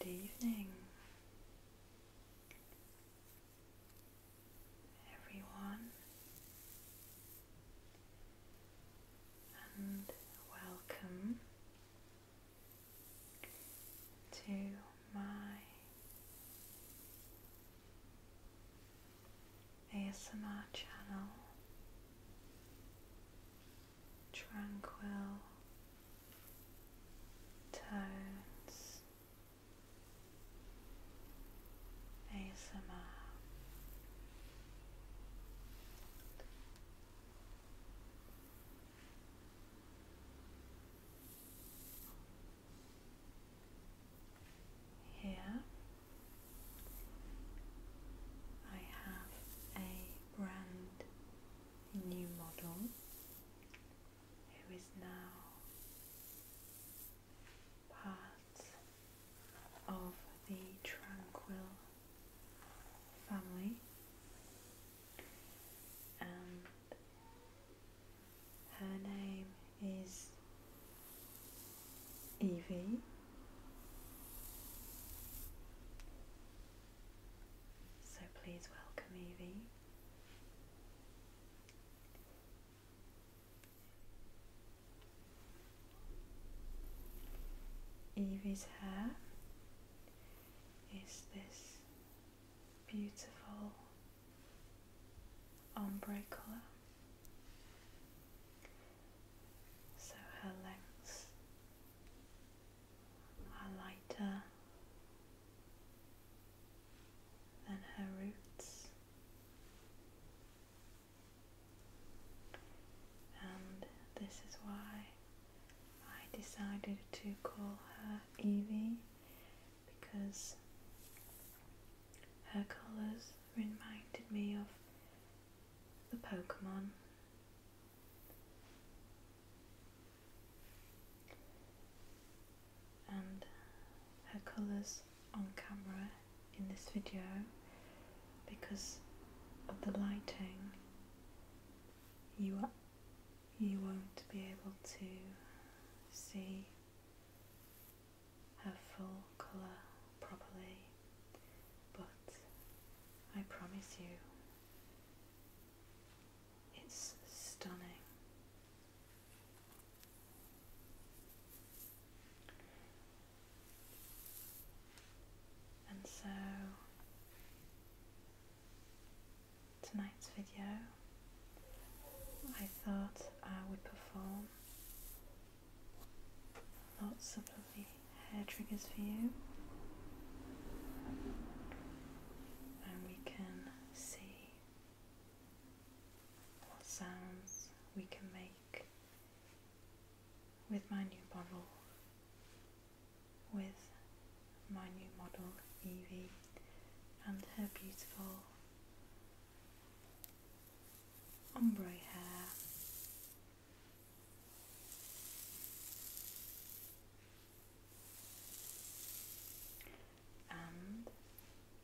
Good evening, everyone, and welcome to my ASMR channel Tranquil Tones ASMR. Here I have a brand new model who is now part of the Tranquil family her name is Evie. So please welcome Evie. Evie's hair is this beautiful ombre colour. So her lengths are lighter than her roots, and this is why I decided to call her Evie because her colours reminded me of the Pokemon. And her colours on camera in this video because of the lighting you are you won't be able to see her full colour properly, but I promise you it's stunning. And so tonight's video I thought I would perform lots of lovely hair triggers for you and we can see what sounds we can make with my new bottle with my new model Evie and her beautiful ombre hair. And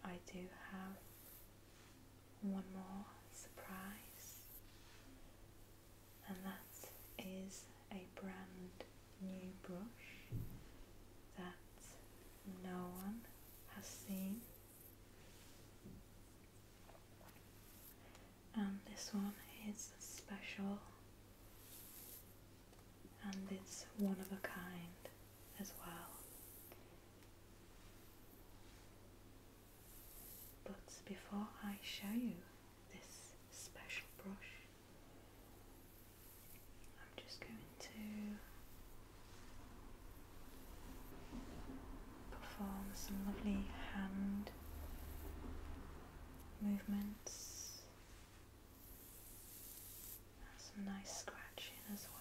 I do have one more surprise, and that is a brand new brush that no one has seen. And this one is special and it's one of a kind as well. But before I show you this special brush, I'm just going to perform some lovely hand movements some nice scratching as well.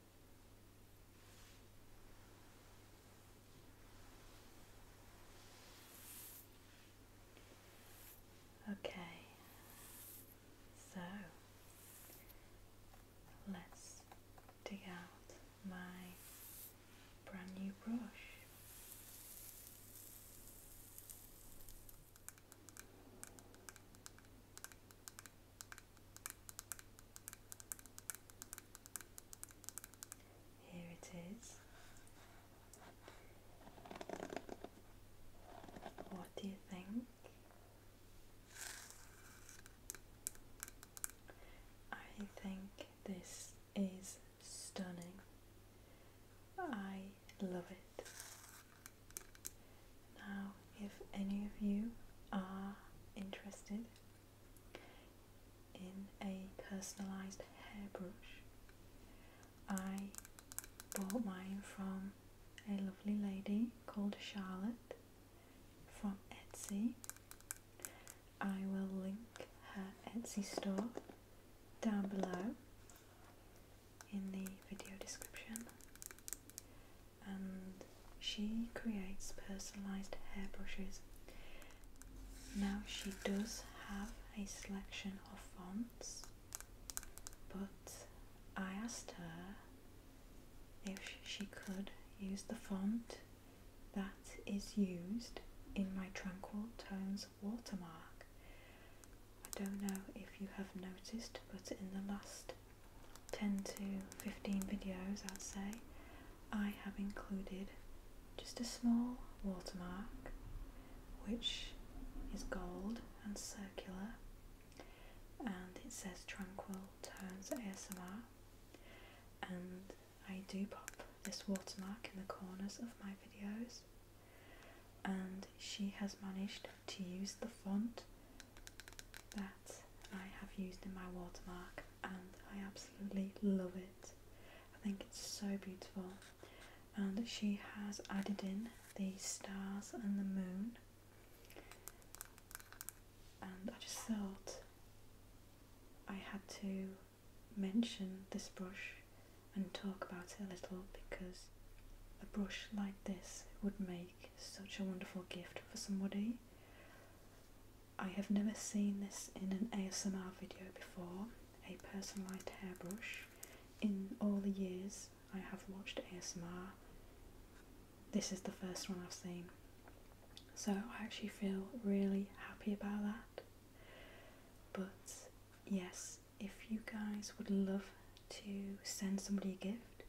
Okay, so let's dig out my brand new brush. Here it is. What do you think? I think this is stunning. I love it. Now, if any of you are interested in a personalized hairbrush, I bought mine from a lovely lady called Charlotte from Etsy. I will link her Etsy store down below in the video description and she creates personalized hairbrushes. Now she does have a selection of fonts, but I asked her if she could use the font that is used in my Tranquil Tones watermark. I don't know if you have noticed, but in the last 10 to 15 videos I'd say, I have included just a small watermark which is gold and circular and it says Tranquil Turns ASMR and I do pop this watermark in the corners of my videos and she has managed to use the font that I have used in my watermark and I absolutely love it. I think it's so beautiful and she has added in the stars and the moon and I just thought I had to mention this brush and talk about it a little because a brush like this would make such a wonderful gift for somebody. I have never seen this in an ASMR video before, a personalised hairbrush. In all the years I have watched ASMR, this is the first one I've seen. So I actually feel really happy about that. But yes, if you guys would love to send somebody a gift,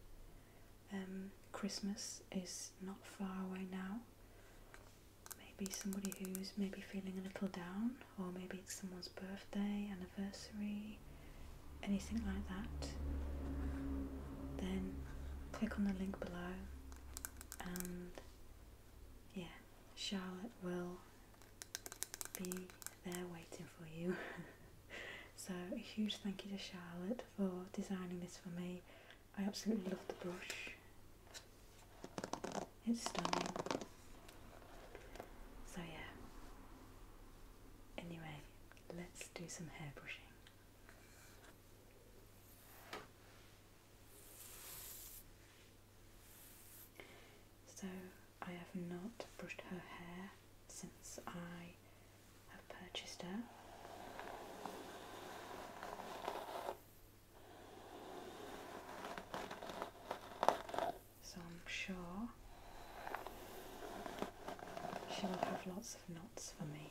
um, Christmas is not far away now. Maybe somebody who's maybe feeling a little down, or maybe it's someone's birthday, anniversary, anything like that. Then click on the link below, and yeah, Charlotte will be there waiting for you. so a huge thank you to Charlotte for designing this for me. I absolutely love the brush. It's stunning. So yeah. Anyway, let's do some hair brushing. So I have not brushed her hair since I have purchased her. So I'm sure she will have lots of knots for me.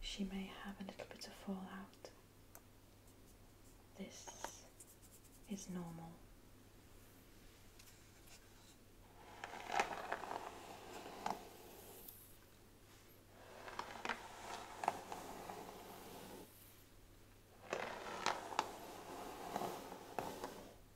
She may have a little bit of fallout. This is normal.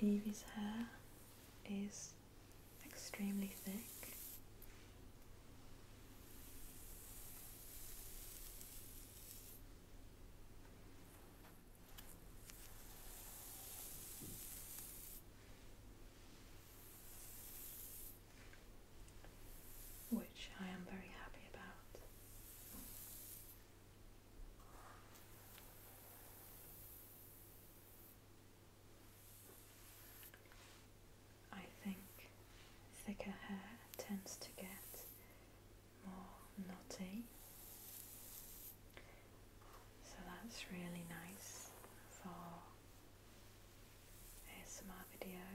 Evie's hair is extremely thick which I am very happy about. I think thicker hair tends to get more knotty. So that's really nice for ASMR videos.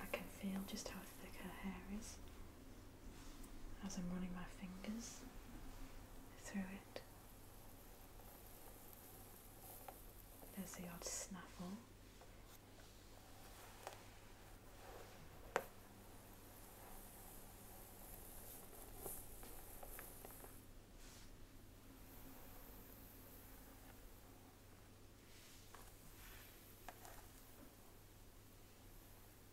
I can feel just how thick her hair is as I'm running my fingers through it. There's the odd snaffle.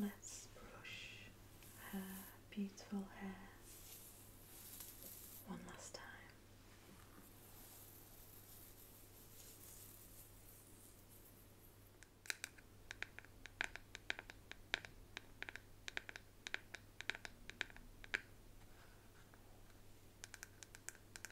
Let's brush her beautiful hair one last time.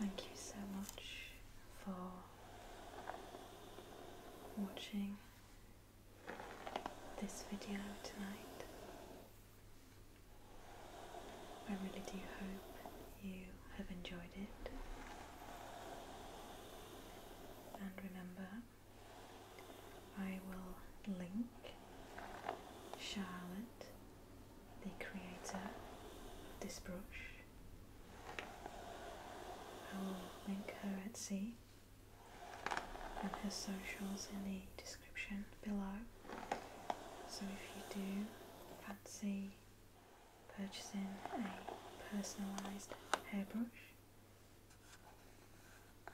Thank you so much for watching this video tonight. I really do hope you have enjoyed it. And remember, I will link Charlotte, the creator of this brush, I will link her at sea and her socials in the description below. So if you do fancy purchasing a personalised hairbrush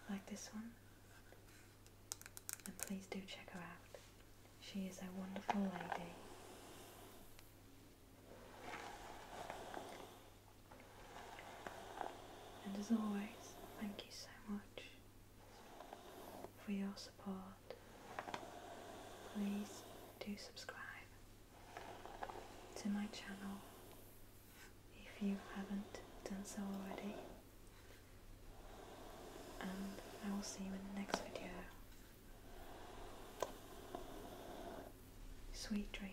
like this one, then please do check her out. She is a wonderful lady. And as always, thank you so much for your support. Please do subscribe to my channel if you haven't done so already. And I will see you in the next video. Sweet dreams.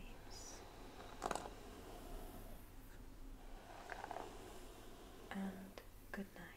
And good night.